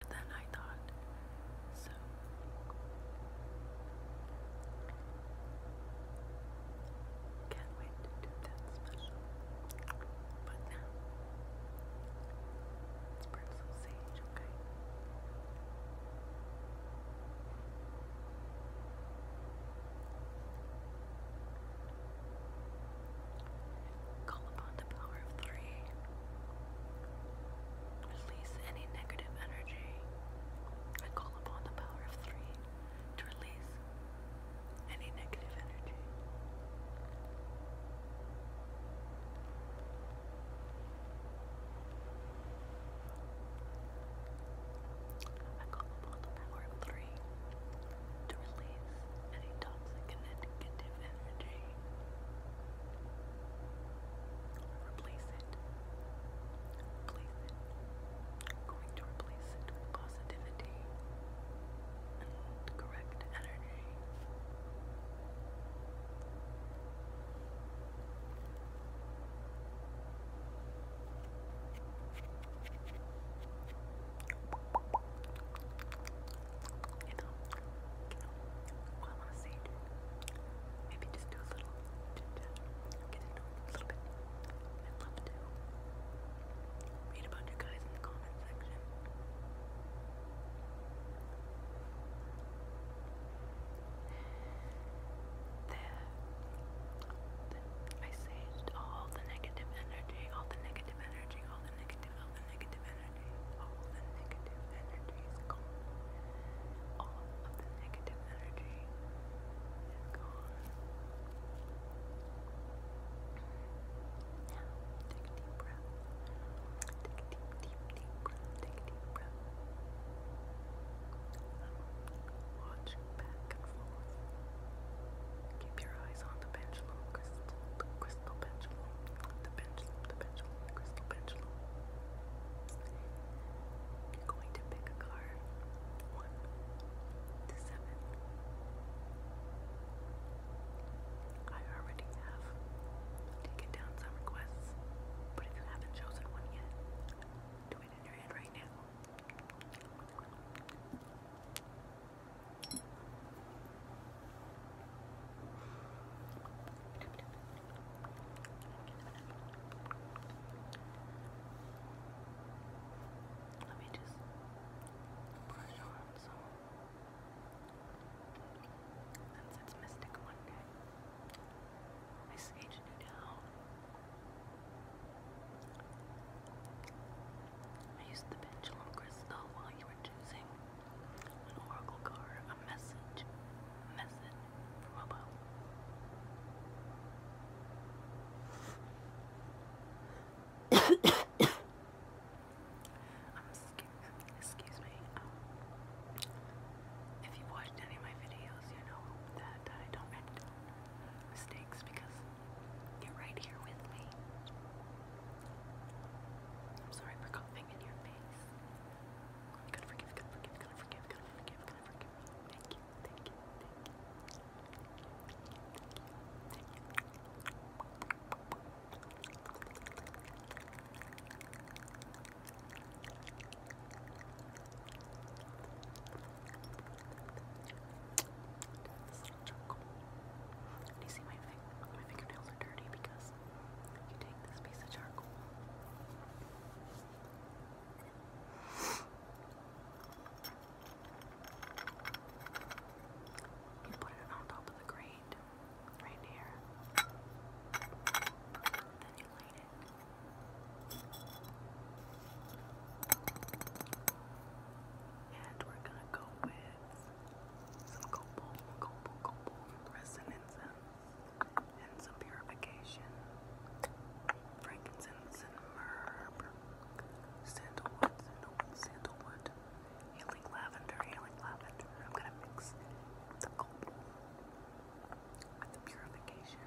than I thought. So can't wait to do that special. But now let's sage, okay? Thank you Call upon the power of three. Release any negative energy. I call upon the power of three to release any negative energy. I call upon the power of three to release any toxic and negative energy. Replace it. Replace it. going to replace it with positivity and correct energy you know, you know, what I want to say. Maybe just do a little chit a little bit. I'd love to read about you guys in the comment section. The, I saved all the negative energy, all the negative energy, all the negative collected all the negative energy. All the negative energy is gone. All of the negative energy is gone. Now, take a deep breath. Take a deep, deep, deep breath. Take a deep breath. Watch back and forth. Keep your eyes on the pendulum, crystal, crystal pendulum, the pendulum, the pendulum crystal pendulum. You're going to pick a card, one to seven. I already have taken down some requests, but if you haven't chosen one yet, do it in your head right now. Let me just brush on some. Since it's Mystic Monday, I saged it down. I used the pendulum crystal while you were choosing an oracle card, a message, message from above. um, excuse me. Um, if you've watched any of my videos, you know that I don't make mistakes because you're right here with me. I'm sorry for coughing in your face gonna forgive, gonna forgive, gonna forgive, gonna forgive, gonna forgive. Thank you, thank you, thank you. Do you see my, my fingernails are dirty because you take this piece of charcoal. You put it on top of the grate, right here. Then you light it. And we're gonna go with some copal, copal, copal resonance and some purification. Frankincense and myrrh, sandalwood, sandalwood, healing lavender, healing lavender. I'm gonna mix the copal with the purification.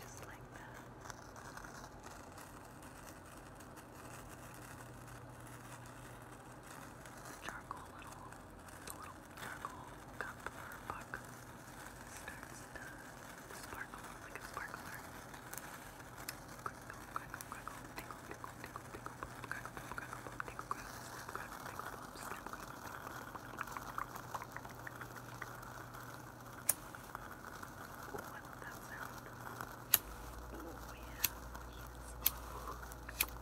Just like that. The charcoal little, the little charcoal cup or puck starts to sparkle like a sparkler. Crinkle, crinkle, crinkle, tickle, tickle, tickle, tickle, pop, crackle, pop, crackle, pop, tickle, crackle, pop, crackle, tickle, pop, snap, crackle, What's that sound? Oh yeah. Yes. Okay, so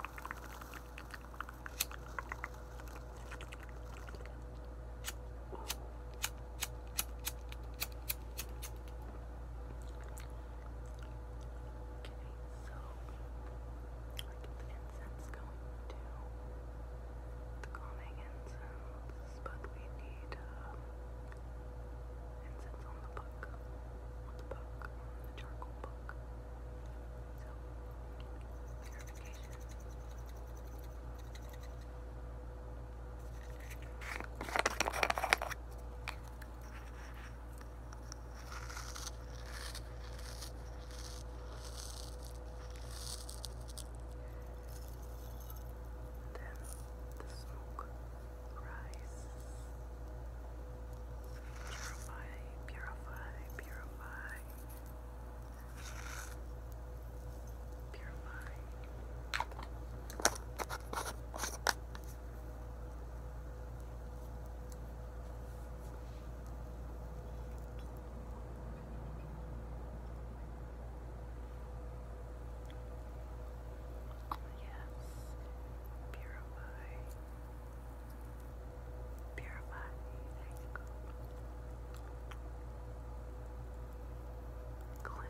like the incense going to the calming incense, but we need um, incense on the book, the book, the charcoal book. So, then the smoke rises. Purify, purify, purify. Purify. Purify yes, purify, purify, you cleanse,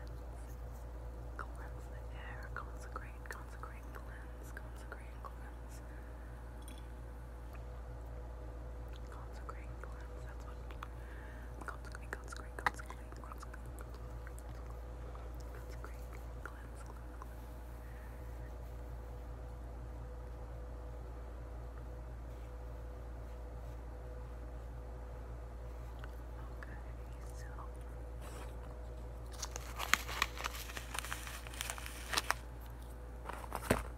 cleanse the air, consecrate, consecrate, cleanse, consecrate, cleanse. Consecrate cleanse, that's what consecrate, consecrate, consecrate, consecrate, consecrate, cleanse, cleanse, cleanse. Okay, so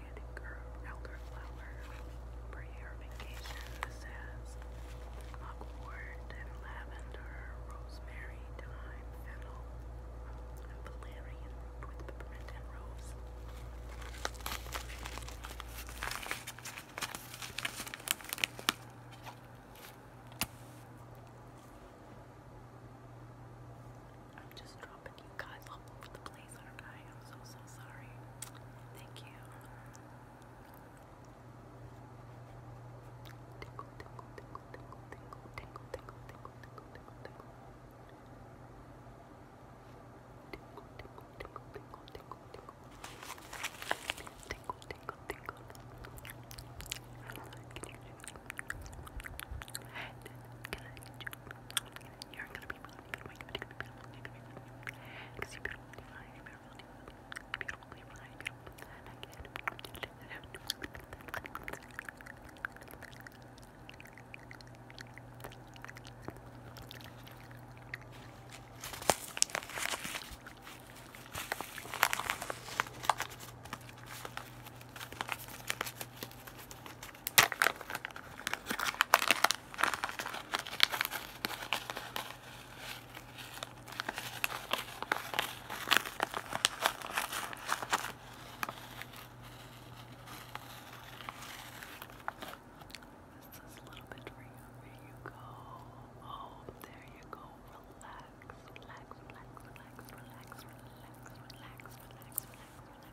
organic elderflower for your vacation. This and lavender, rosemary, thyme, fennel, valerian with peppermint and rose. I'm just dropping you guys all over the place. I? am so, so sorry. Thank you. You're gonna be beautiful. You're gonna be beautiful. Because you're beautiful. You're beautiful. You're beautiful. You're beautiful. This is a little bit you. There you go. Oh, there you go. relax, relax, relax, relax, relax, relax, relax, relax, relax.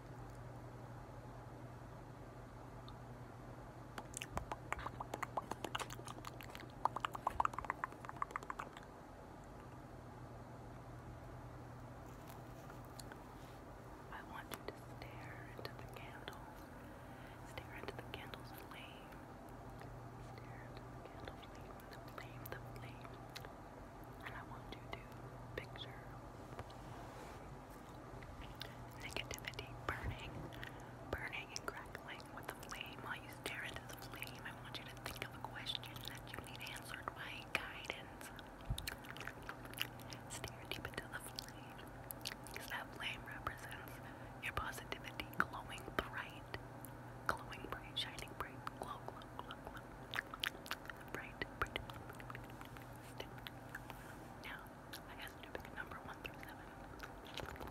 I want you to stare into the candles. Stare into the candles flame. Stare into the flame. The flame, the flame and I want you to picture negativity burning, burning crackling with the flame while you stare into the flame. I want you to think of a question that you need answered by guidance. Stare deep into the flame because that flame represents your positivity glowing bright, glowing bright, shining bright, glow, glow, glow. Bright, Now, I guess to pick number one through seven.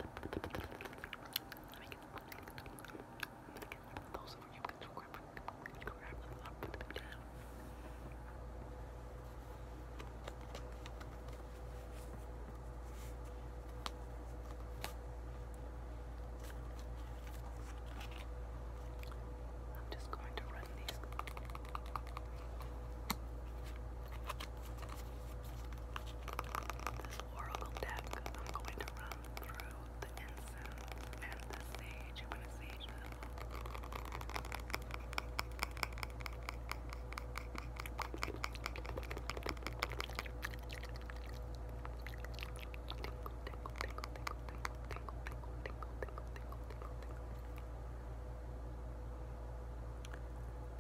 those of you can grab, grab them up and down. I'm just going to run these. This oracle deck, I'm going to run through the incense and the sage. I'm to sage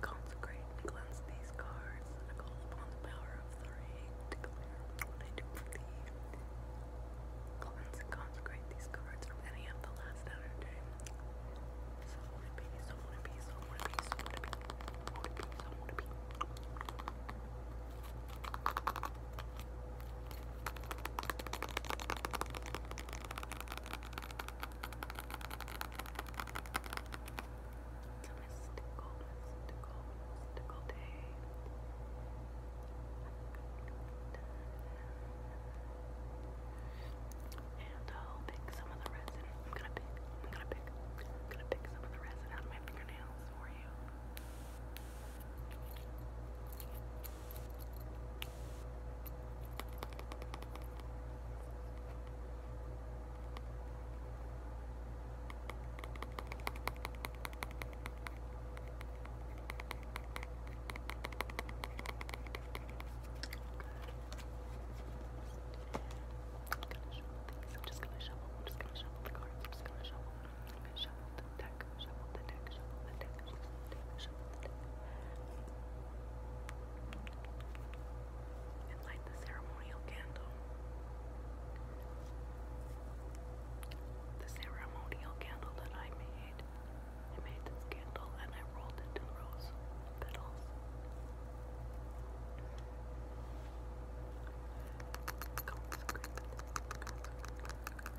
Consecrate and cleanse these cards. I call upon the power of three consecrate these cards from any the last energy. So so would it be, so would it be, so would it be, so would it be. So would it be. It's mystical, mystical, mystical day. And I'll pick some of the resin. I'm gonna pick, I'm gonna pick, I'm gonna pick some of the resin out of my fingernails for you. I'm just gonna shovel. I'm just gonna shovel the cards. I'm just gonna shovel them. Shovel the And light the ceremonial candle. The ceremonial candle that I made. I made this candle and I rolled it in rose petals.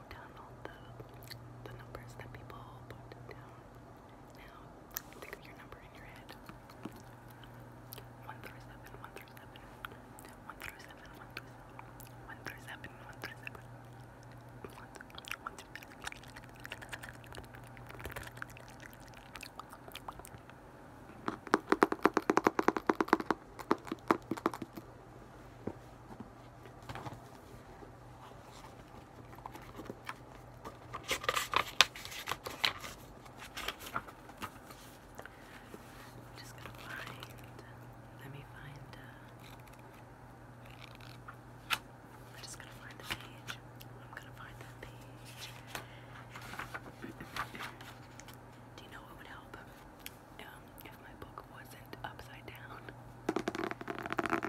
wrote down all the the numbers that people put down. Now think of your number in your head. One just gonna find, let me find, uh, I'm just gonna find the page. I'm gonna find that page. Do you know what would help? if my book wasn't upside down.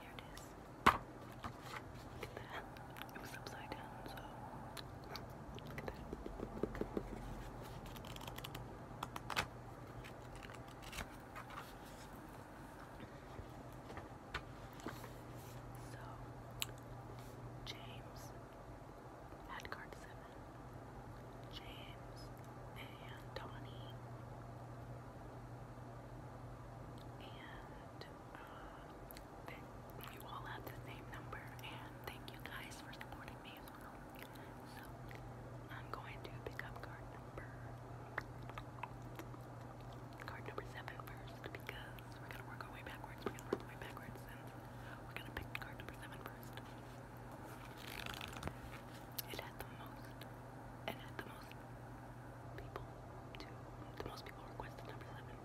Here it is. Look at that. It was upside down, So James had seven. James and Donnie. And uh, you all have the same number, and thank you guys for supporting me as well. So I'm going to pick up card number card number seven first because we're gonna work our way backwards. We're gonna work our way backwards we We're gonna pick card number seven first. It had the most. It had the most people. the most people requested number seven.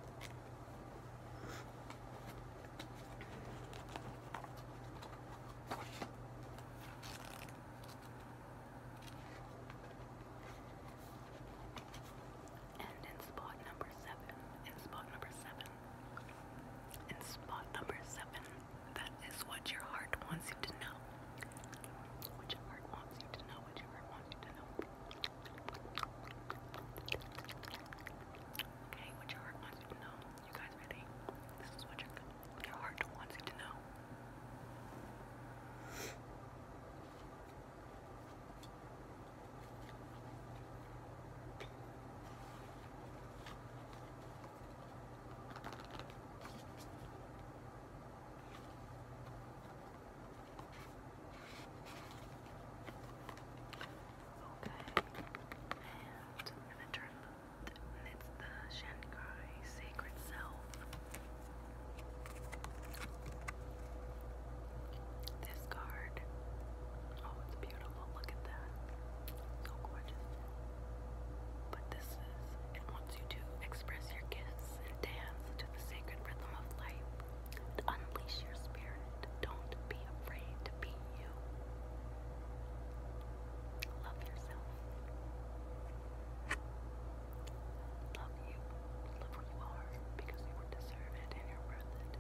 And in spot number seven, in spot number seven, in spot number seven, that is what your heart wants you to know. What your heart wants you to know, what your heart wants you to know. Okay, what your heart wants you to know. You guys ready? This is what your, your heart wants you to know and I'm gonna turn the, it's the Shanghai Sacred Self. This card. Oh, it's beautiful. Look at that. So gorgeous. But this is, it wants you to express your gifts and dance to the sacred rhythm of life. unleash your spirit. Don't be afraid to be you. Love yourself. Love you. Love who you are because you deserve it and you're worth it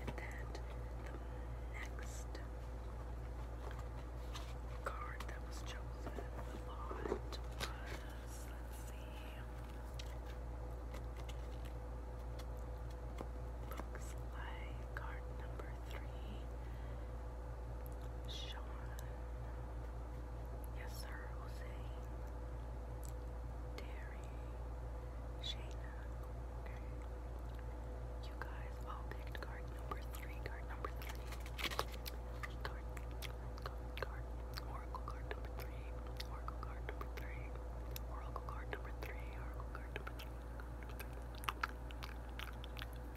And then the next card that was chosen looks like card number three. Sean. Yes, sir. Jose. Terry. Shayna. Okay. You guys all picked card number three. Card number three. Card. Card. Card. Oracle card number three. Oracle card number three. Oracle card number three. This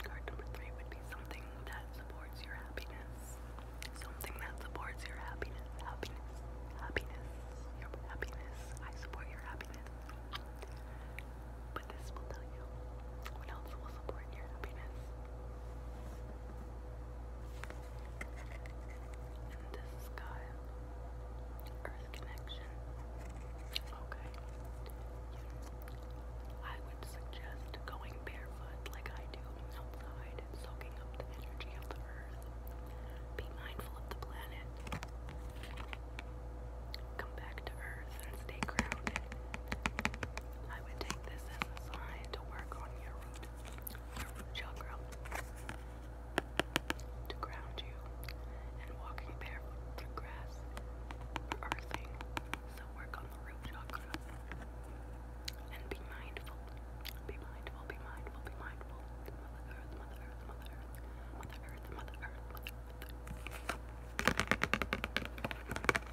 card number three would be something that supports your happiness. Something that supports your happiness. Happiness. Happiness. Your happiness. I support your happiness. But this will tell you what else will support your happiness. And this is Earth Connection. Okay. I would suggest going barefoot like I do outside soaking up the energy of the earth. Be mindful of the planet. Come back to earth and stay grounded. I would take this as to work on your root, your root to ground you. And walking barefoot through grass, earthing, so work on the root chakra. And be mindful, be mindful, be mindful, be mindful. Mother Earth, Mother Earth, Mother Earth, Mother Earth. Mother Earth.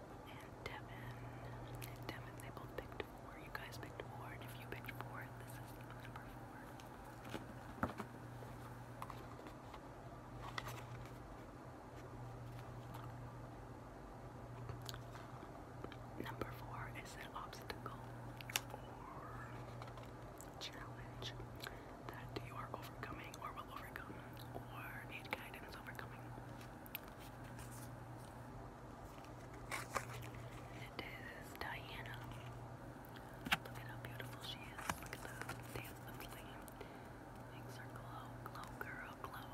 and Devin. And Devin, they both picked four. You guys picked four, and if you picked four, this is number four. Number four is an obstacle or challenge that you are overcoming or will overcome or need guidance overcoming. This Diana. Look at how beautiful she is. Look at the damn the flame. Makes her glow, glow, girl, glow.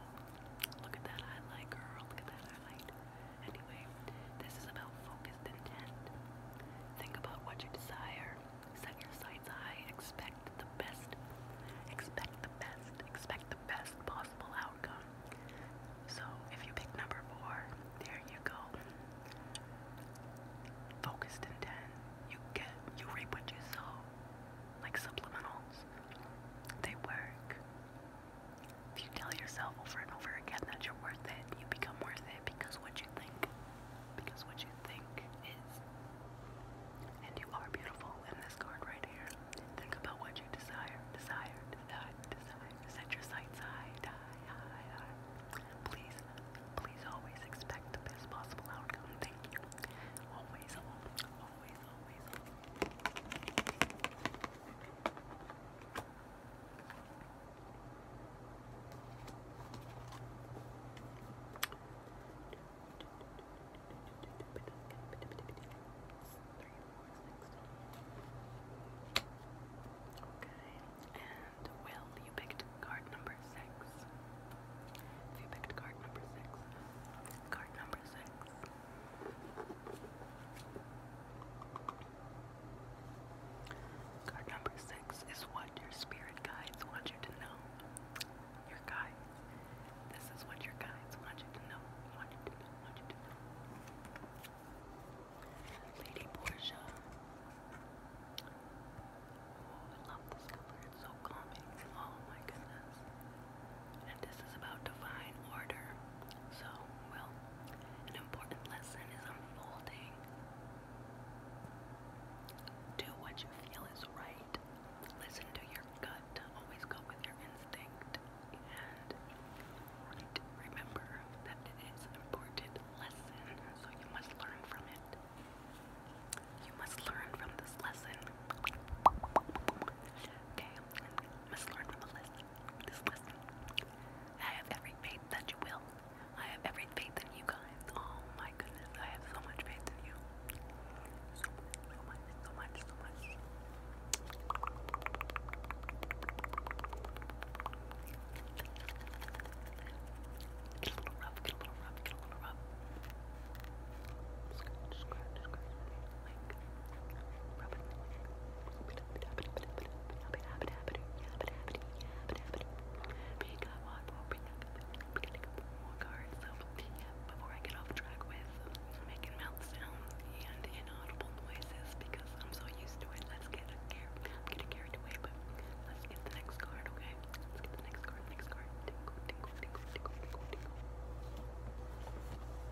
Look at that highlight, girl. Look at that highlight. Anyway, this is about focused intent. Think about what you desire. Set your sights high. Expect expect the best, expect the best, expect the best possible outcome. So if you pick number four, there you go. Focused intent. You get you reap what you sow. Like subliminals. They work. If you tell yourself over and over again that you're worth it, you become worth it because what you think. Because what you think is. And you are beautiful in this card right here. Think about what you desire, desire, desire, desire. Set your sights high, high, high, Please, please always expect the best possible outcome. Thank you. Always, always, always, always. Okay, and Will, you picked card number six. you picked card number six, card number six. Card number six is what your spirit guides want you to know your guides. This is what your guides want you to know. Want you to know. Want you to know. Lady Portia. Oh, I love this color. It's so calming. Oh my goodness. And this is about divine order. So, well, an important lesson is unfolding. Do what you feel is right. Listen to your gut. Always go with your instinct. And remember that it is an important lesson, so you must learn from it. You must learn from this lesson. Okay? must learn from the lesson. This lesson. I have every faith that you will. I have every faith in you guys. Oh my goodness, I have so much faith in you so much, so much, so much. Get a little rough, get a little rough, get a little rough. Scratch, scratch, scratch. Like, rub it. Because I want more cards, so yeah before I get off track with making mouth sounds and inaudible noises because I'm so used to it. Let's get a I'm getting carried away, but let's get the next card, okay? Let's get the next card, next card. Tingle, tingle, tingle, tingle, tingle,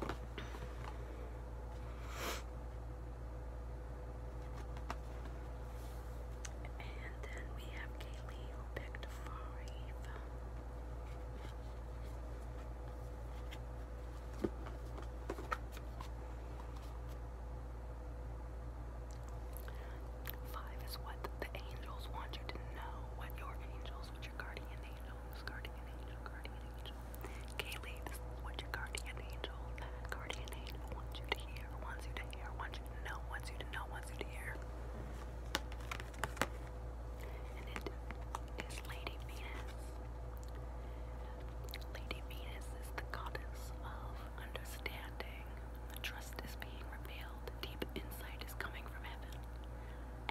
And then we have Kaylee who picked Fari Five is what the angels want you to know. What your angels, what your guardian angels, guardian angel, guardian angel. Kaylee, this is what your guardian angel, guardian angel wants you to hear, wants you to hear, wants you to know, wants you to know, wants you to hear. And it is Lady Venus. Lady Venus is the goddess of understanding. The trust is being revealed. Deep insight is coming from heaven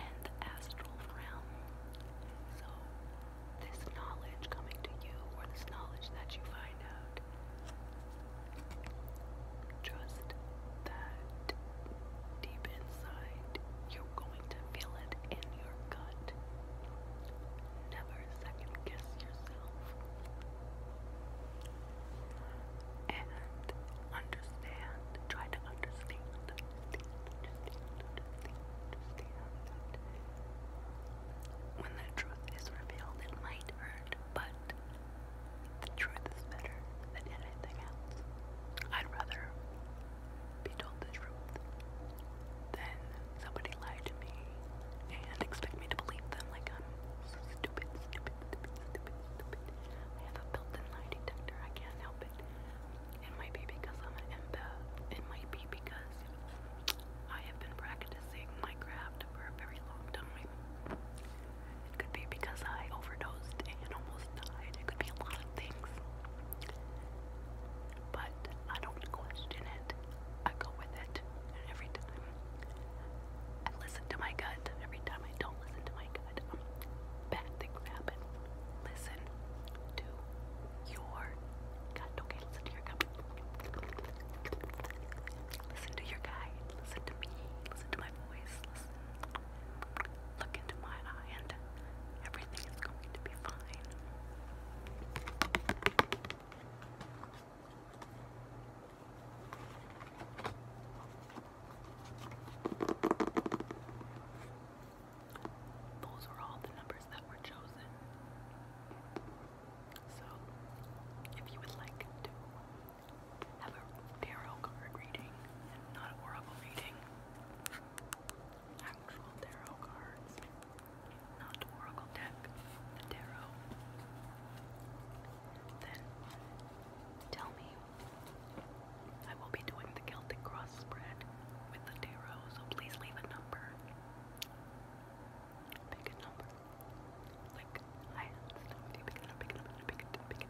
and the astral realm. So, this knowledge coming to you, or this knowledge that you find out, Trust that deep inside you're going to feel it in your gut. Never second guess yourself. And understand, try to understand, when the truth is revealed, it might hurt, but the truth is better than anything else. I'd rather be told the truth than somebody lie to me and expect me to believe them like I'm so stupid, stupid, stupid, stupid, stupid. I have a built-in lie detector. I can't help it. It might be because I'm an empath. It might be because I have been practicing my craft for a very long time. It could be because I overdosed and almost died. It could be a lot of things. But I don't question it. I go with it. every time I listen to my gut, every time I don't listen to my gut, um, bad things happen. Listen to your gut. Okay, listen to your gut. Listen to your guide. Listen to me. Listen to my voice. Listen. Look into my eye, and everything is going to be fine. Those are all the numbers that were chosen. So, if you would like to have a tarot card reading not a horrible reading. Actual tarot cards, not oracle deck, the tarot. Then tell me, I will be doing the Celtic cross spread with the tarot, so please leave a number. Pick a number. Like I have stuff. Pick a number. Pick a number. Pick a number. I'm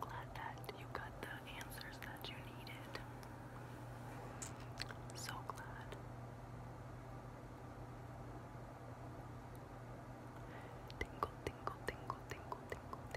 glad that you got the answers that you needed. So glad. Tingle, tingle, tingle, tingle, tingle,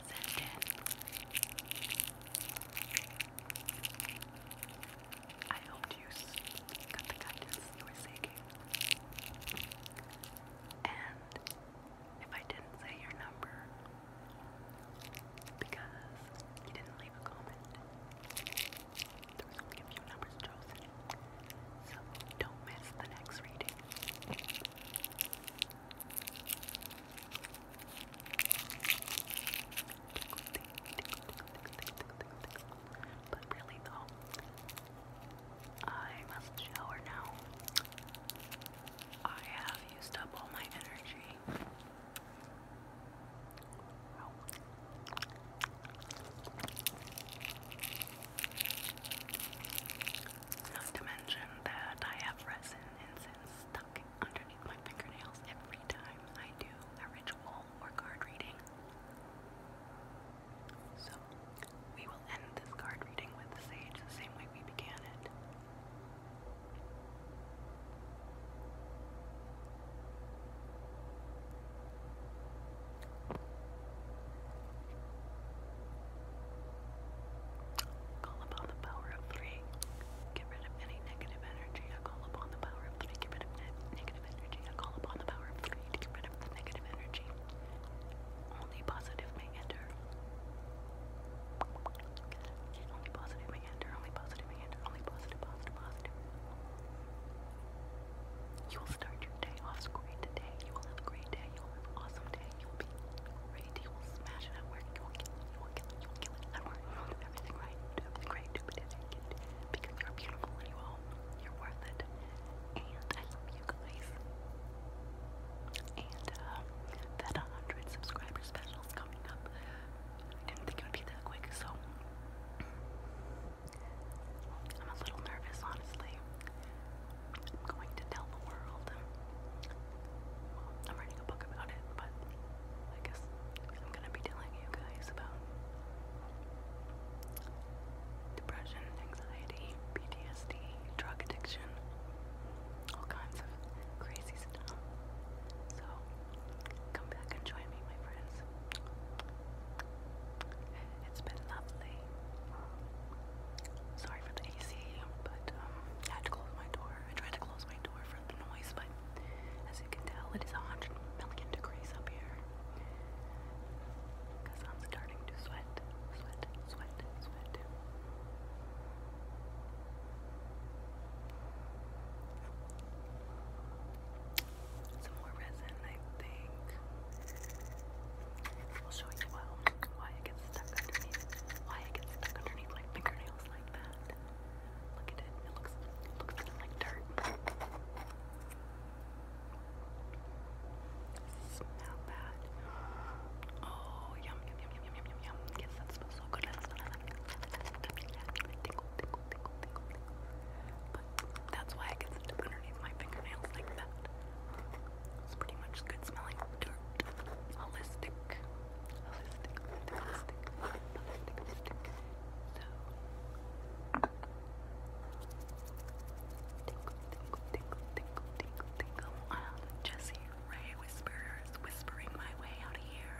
sent I helped you cut the guidance you were seeking. And if I didn't say your number, because you didn't leave a comment, there was only a few numbers chosen. So don't miss the next reading. But really though, I must shower now. I have used up all my energy. Not to mention that I have resin incense stuck right underneath my fingernails every time I do a ritual or card reading. So, we will end this card reading with the sage the same way we began it. Call upon the power of three. Get rid of any negative energy. I call upon the power of three. Get rid of ne negative energy. I call upon the power of three get rid of the negative energy. Only positive may enter. Only positive may enter. Only positive may enter. Only positive, positive, positive. You will start your day off great today. You will have a great day. You will have an awesome day. You will be you will smash it You will kill it. You will kill it. You will kill it You will do everything right. everything great. Because you're beautiful and you all, are worth it. And I love you guys. And uh, that 100 subscriber special is coming up. I didn't think it would be that quick, so I'm a little nervous, honestly. I'm going to tell the world I'm writing a book about it, but I guess I'm gonna be telling you guys about depression, anxiety, PTSD, drug addiction, all kinds of crazy stuff. So come back and join me, my friends. It's been lovely. Sorry for the AC, but um, I had to close my door. I tried to close my door the noise, but as you can tell, it is 100 million degrees up here. Because I'm starting to sweat, sweat, sweat, sweat. Some more resin, I think. I'll show you well why it gets stuck underneath. Why it gets stuck underneath my fingernails like that. Look at it. It looks, looks like dirt. Smell that. Oh, yum, yum, yum, yum, yum, yum, yum. Yes, that smells so good. That smells like tingle, that's why it gets underneath my fingernails like that. It's pretty much good smelling dirt. Holistic holistic, holistic, holistic, whispering my way out of here.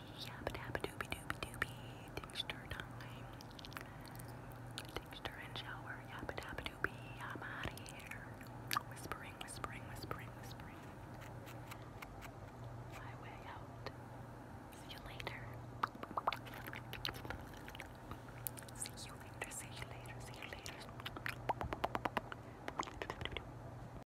Yabba dabba doobie doobie doobie. Tinkster time. Tinkster and shower. Yabba dabba doobie. I'm out of here. Whispering, whispering, whispering, whispering. My way out. See you later. See you later. See you later. See you later.